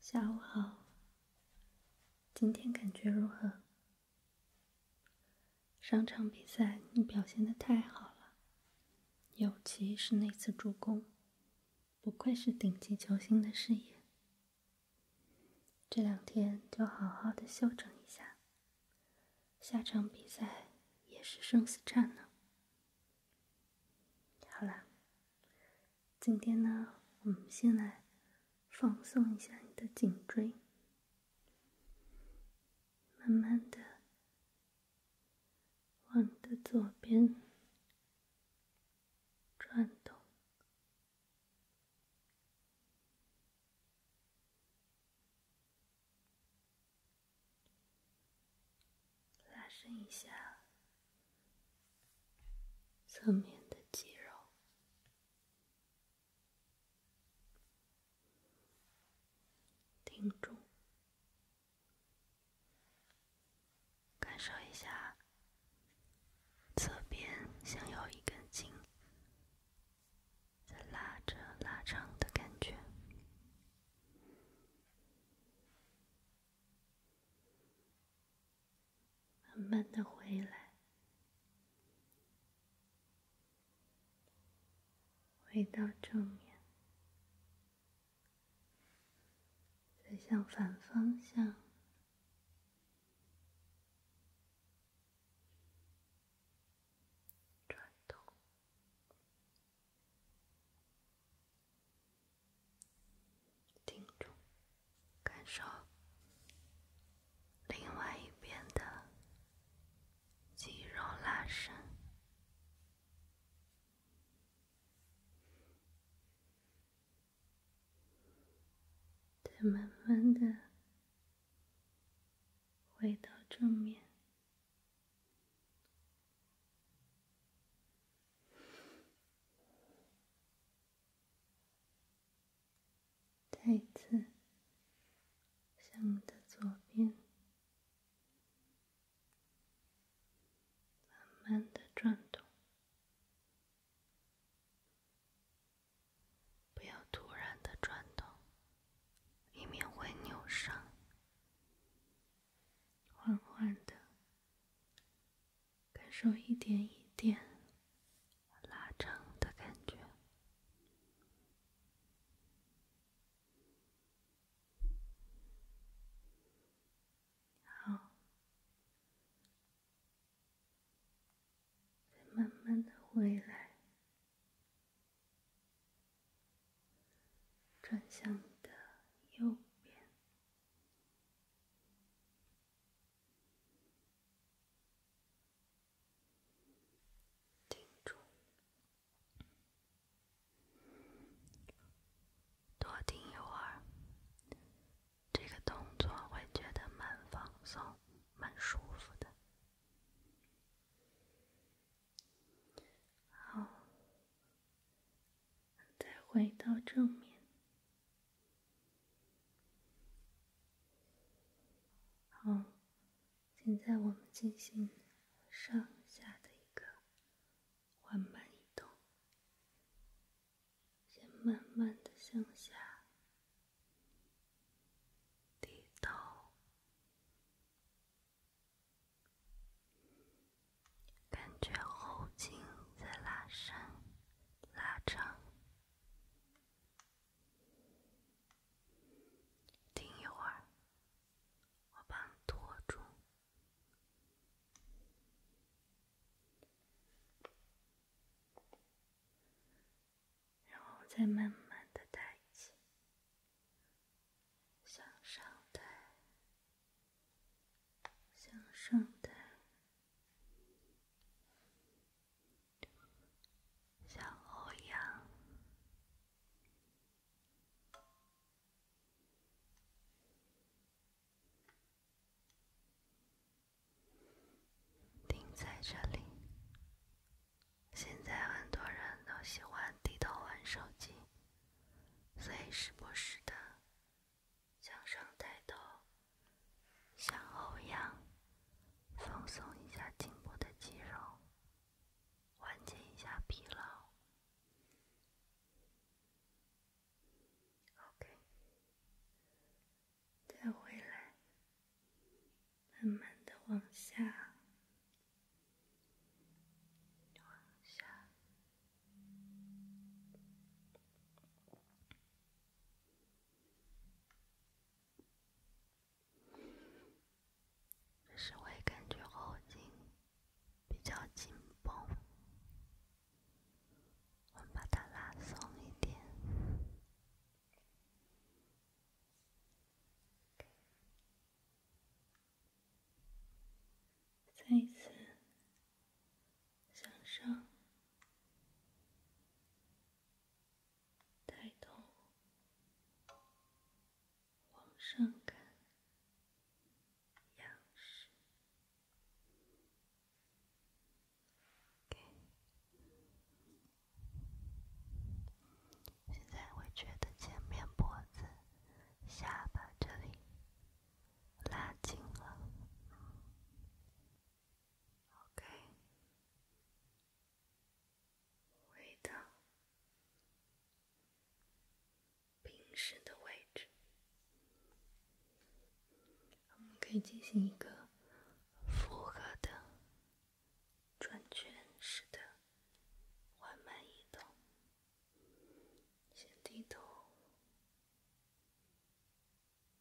下午好，今天感觉如何？上场比赛你表现的太好了，尤其是那次助攻，不愧是顶级球星的视野。这两天就好好的休整一下，下场比赛也是生死战呢。好了。今天呢，我们先来放松一下你的颈椎，慢慢的往你的左边转动。拉伸一下侧面的肌肉，停住，感受一下侧边向右一根筋在拉着拉长的感觉。慢慢的回来，回到正面，再向反方向转动。定住，感受另外一边的肌肉拉伸，再慢慢的回到正面。再次向的左边慢慢的转动，不要突然的转动，以免会扭伤。缓缓的。感受一点一点拉长的感觉，好，再慢慢的回来，转向你的右边。盯住，多盯一会儿。这个动作会觉得蛮放松、蛮舒服的。好。再回到正面。好，现在我们进行上下的一个缓慢移动，先慢慢的向下低头。感觉后颈在拉伸、拉长，停一会儿，我帮拖住，然后再慢慢的抬起，向上抬。向上抬，向后仰，停在这里。现在很多人都喜欢低头玩手机，所以时不时的。向上抬头，向后仰，放松一下颈部的肌肉，缓解一下疲劳。OK，再回来，慢慢的往下，只是会感觉后颈比较紧绷，我们把它拉松一点。再一次。向上，抬头，往上看，仰视。给。现在会觉得前面脖子、下巴这里。拉紧了，OK，回到平时的位置，我们可以进行一个复合的转圈式的缓慢移动。先低头，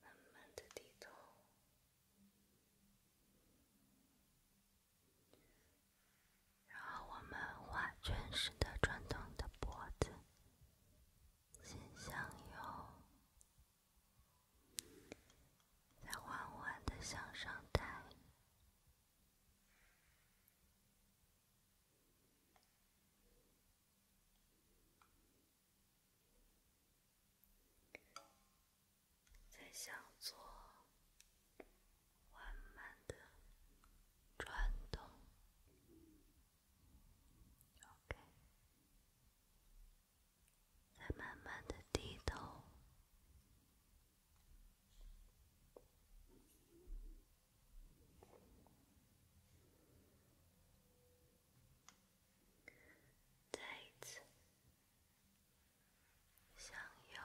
慢慢的低头，然后我们画圈似的转动你的脖子，先向右，再缓缓的向上抬。再向左缓慢的转动，OK，在慢慢的低头。对，向右，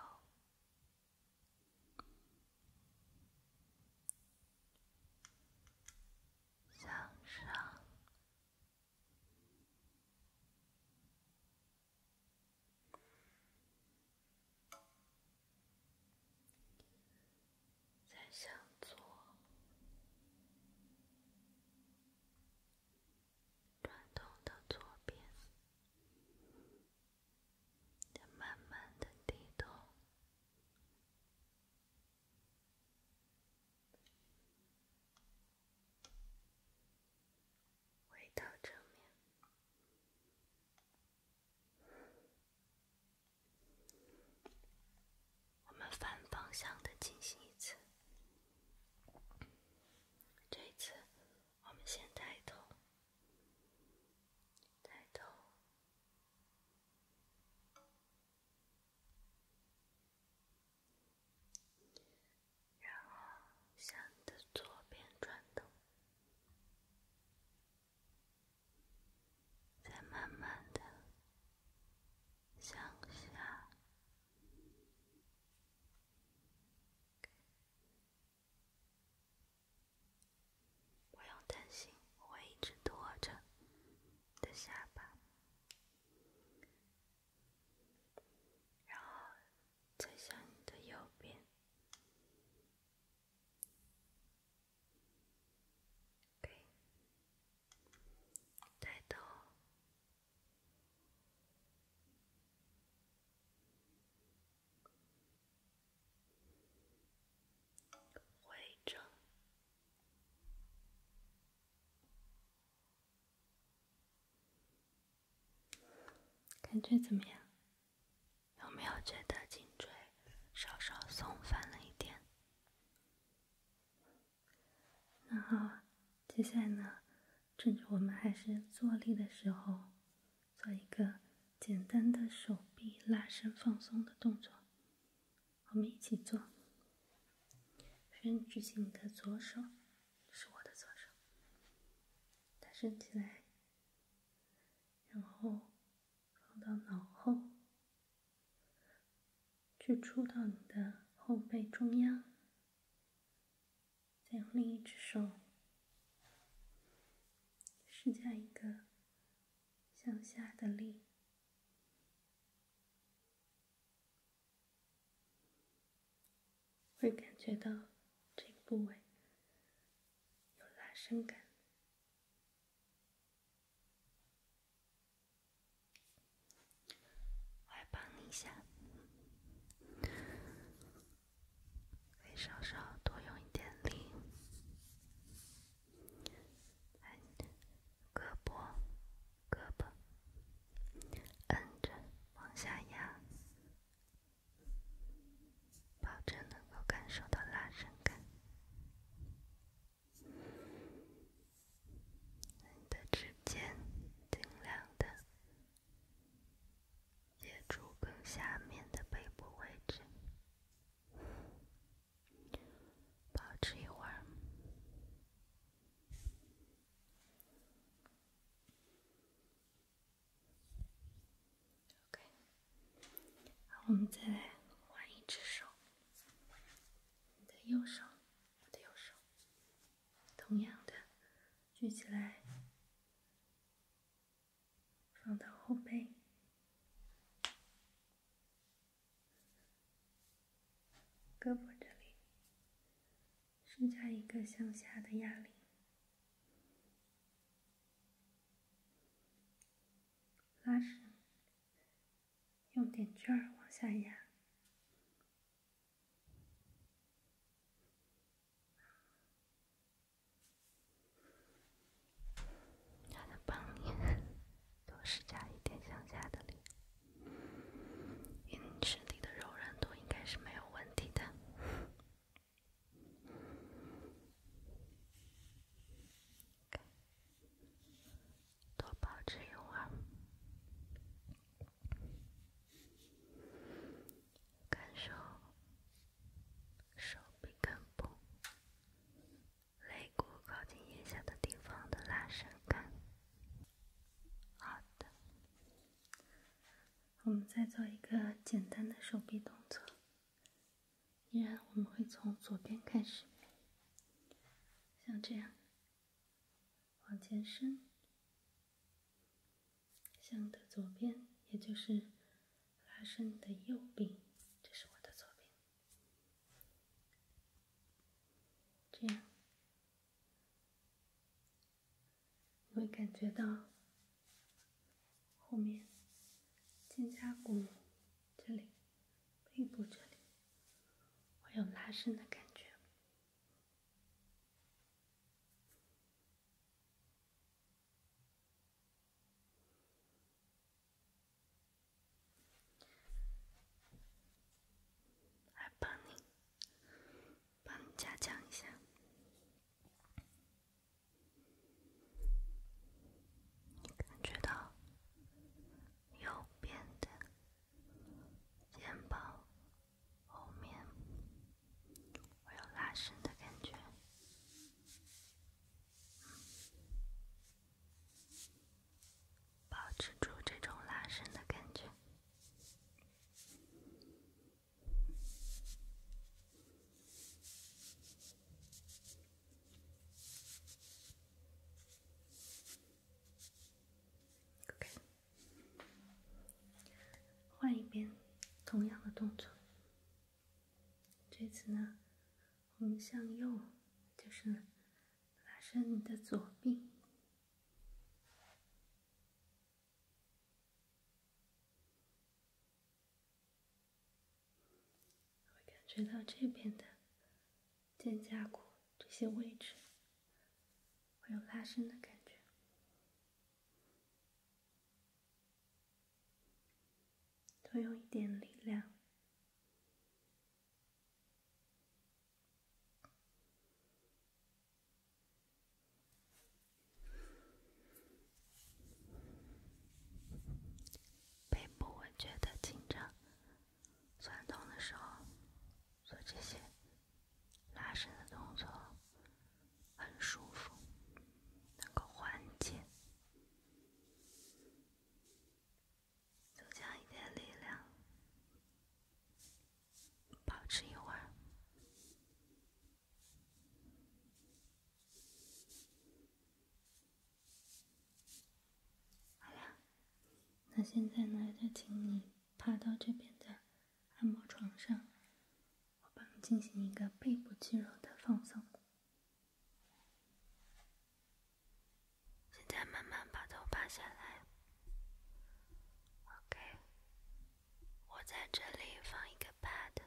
向上。再向左转动到左边，再慢慢的低头，回到正面。我们反方向的进行一次，这一次我们先抬头，抬头，然后向的左边转动。再慢慢的向下，不用担心，我会一直托着的下巴，然后再向你的右边。给带到会正，感觉怎么样？有没有觉得颈椎稍稍松反了一点？那好，接下来呢，趁着我们还是坐立的时候，做一个简单的手臂拉伸放松的动作，我们一起做。先举起你的左手，是我的左手，它伸起来，然后。放到脑后，去触到你的后背中央，再用另一只手施加一个向下的力，会感觉到这个部位有拉伸感。我来帮你一下，可以稍稍多用一点力，来胳膊，胳膊，摁着往下压，保证能够感受到拉伸感。你的指尖尽量的接触更下面的背部位置，保持一会儿。然我们再来换一只手，你的右手，我的右手，同样的举起来，放到后背，胳膊这里施加一个向下的压力，拉伸。用点劲儿往下压，让它帮你多施加一点向下的力。你身体的柔韧度应该是没有问题的。多保持一会儿，感受手臂根部、肋骨靠近腋下的地方的拉伸感。好的，我们再做一个简单的手臂动作。依然，我们会从左边开始，像这样往前伸，向的左边，也就是拉伸的右臂，这是我的左边，这样你会感觉到后面肩胛骨这里。背部这里会有拉伸的感觉，加强一下。感觉到右边的肩膀后面会有拉伸的感觉，保持住这种拉伸的感觉。OK，换一边，同样的动作。这次呢，我们向右，就是拉伸你的左臂。会感觉到这边的肩胛骨这些位置会有拉伸的感觉，多用一点力量。背部会觉得紧张、酸痛的时候，做这些拉伸的动作很舒服，能够缓解，增强一点力量，保持一会儿。好了，那现在呢？就请你趴到这边的按摩床上，我帮你进行一个背部肌肉的放松。现在慢慢把头趴下来。OK，我在这里放一个 pad，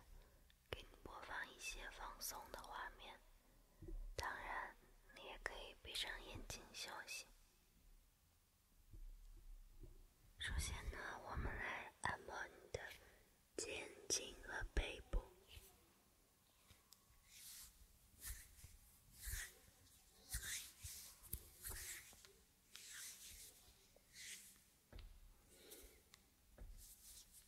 给你播放一些放松的画面。当然，你也可以闭上眼睛休息。首先呢，我们来按摩你的肩颈和背部。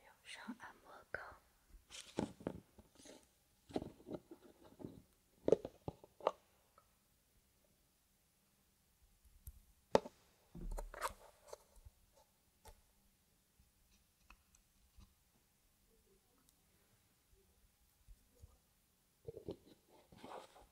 用上按摩膏。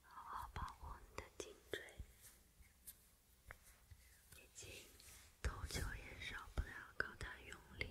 好好保护你的颈椎，以及投球也少不了靠它用力。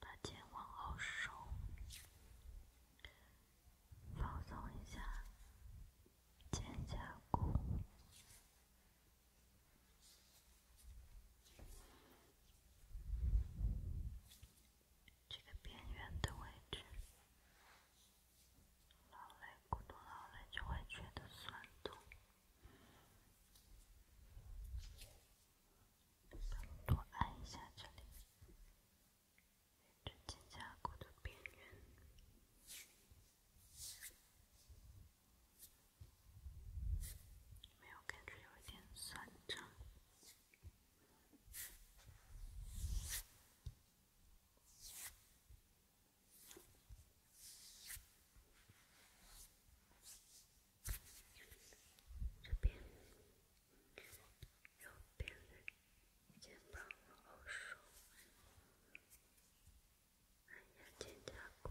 把肩往后收，放松一下肩胛骨。这个边缘的位置，劳累过度，劳累就会觉得酸痛。多按一下这里，这肩胛骨的边缘。没有，感觉有一点酸胀。这边，右边肩膀后收，按压肩胛骨。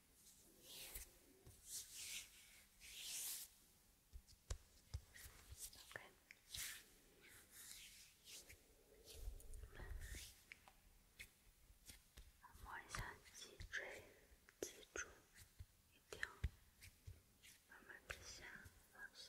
摸一下脊椎、脊柱，一条，慢慢地下、放下。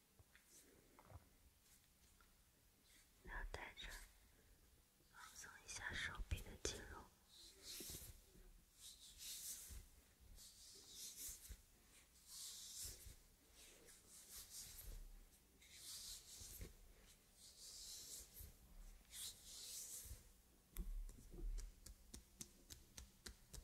然后带着，放松一下手臂的肌肉。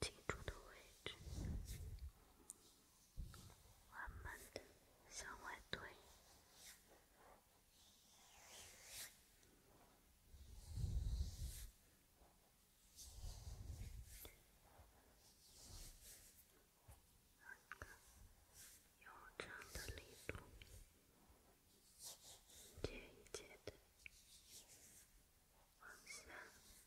脊柱的位置，慢慢的向外推，你这样的力度，一节一节的往下。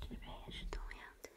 这边也是同样的。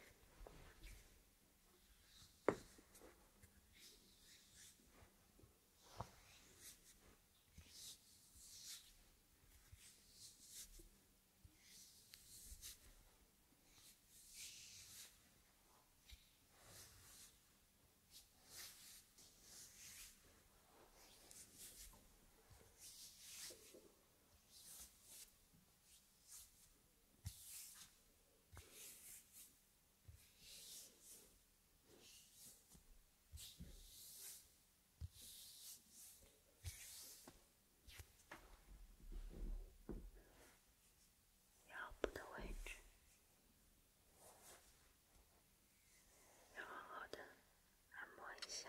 腰部的位置，要好好的按摩一下。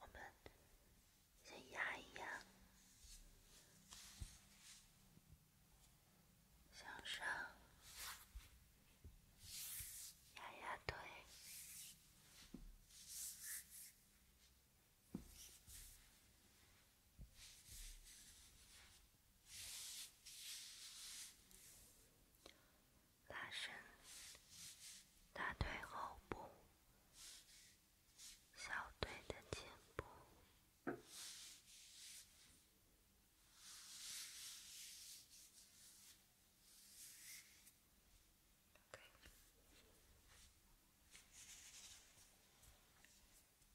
我们先压一压，向上，压压腿。拉伸大腿后部，小腿的前部。OK，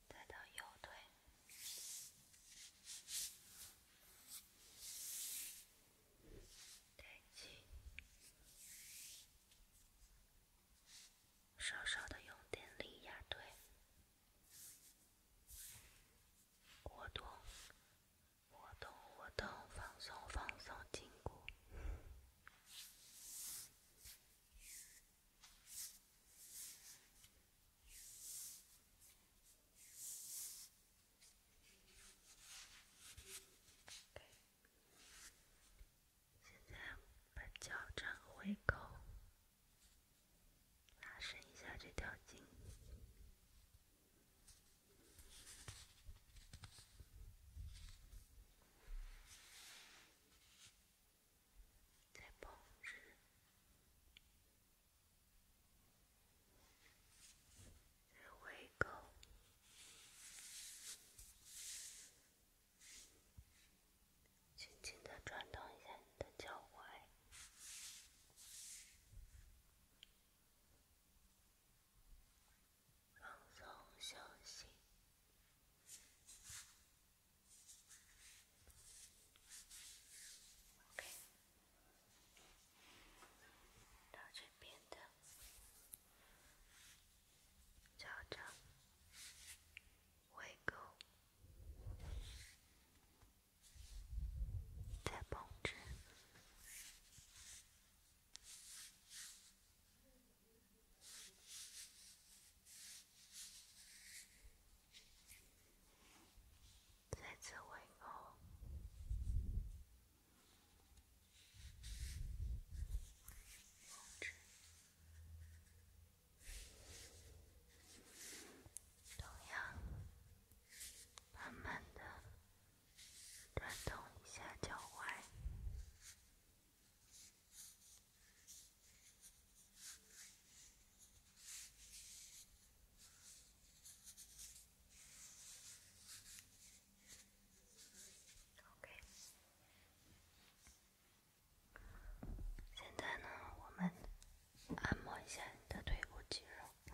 再到右腿。抬起，稍稍的用点力压推，活动，活动，活动，放松，放松筋骨。现在把脚掌回勾，拉伸一下这条筋，再绷直。微够，轻轻的转动一下你的脚踝，放松休息。OK，到这边的。家长喂狗，同样，慢慢的转动一下脚踝。OK，现在呢，我们按摩一下你的腿部肌肉。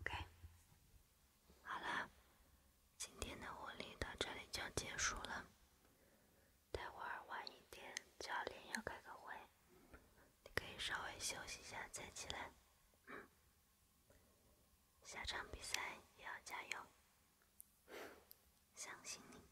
OK，好了，今天的活力到这里就结束了。待会儿晚一点，教练要开个会，你可以稍微休息一下再起来。嗯，下场比赛也要加油，相信你。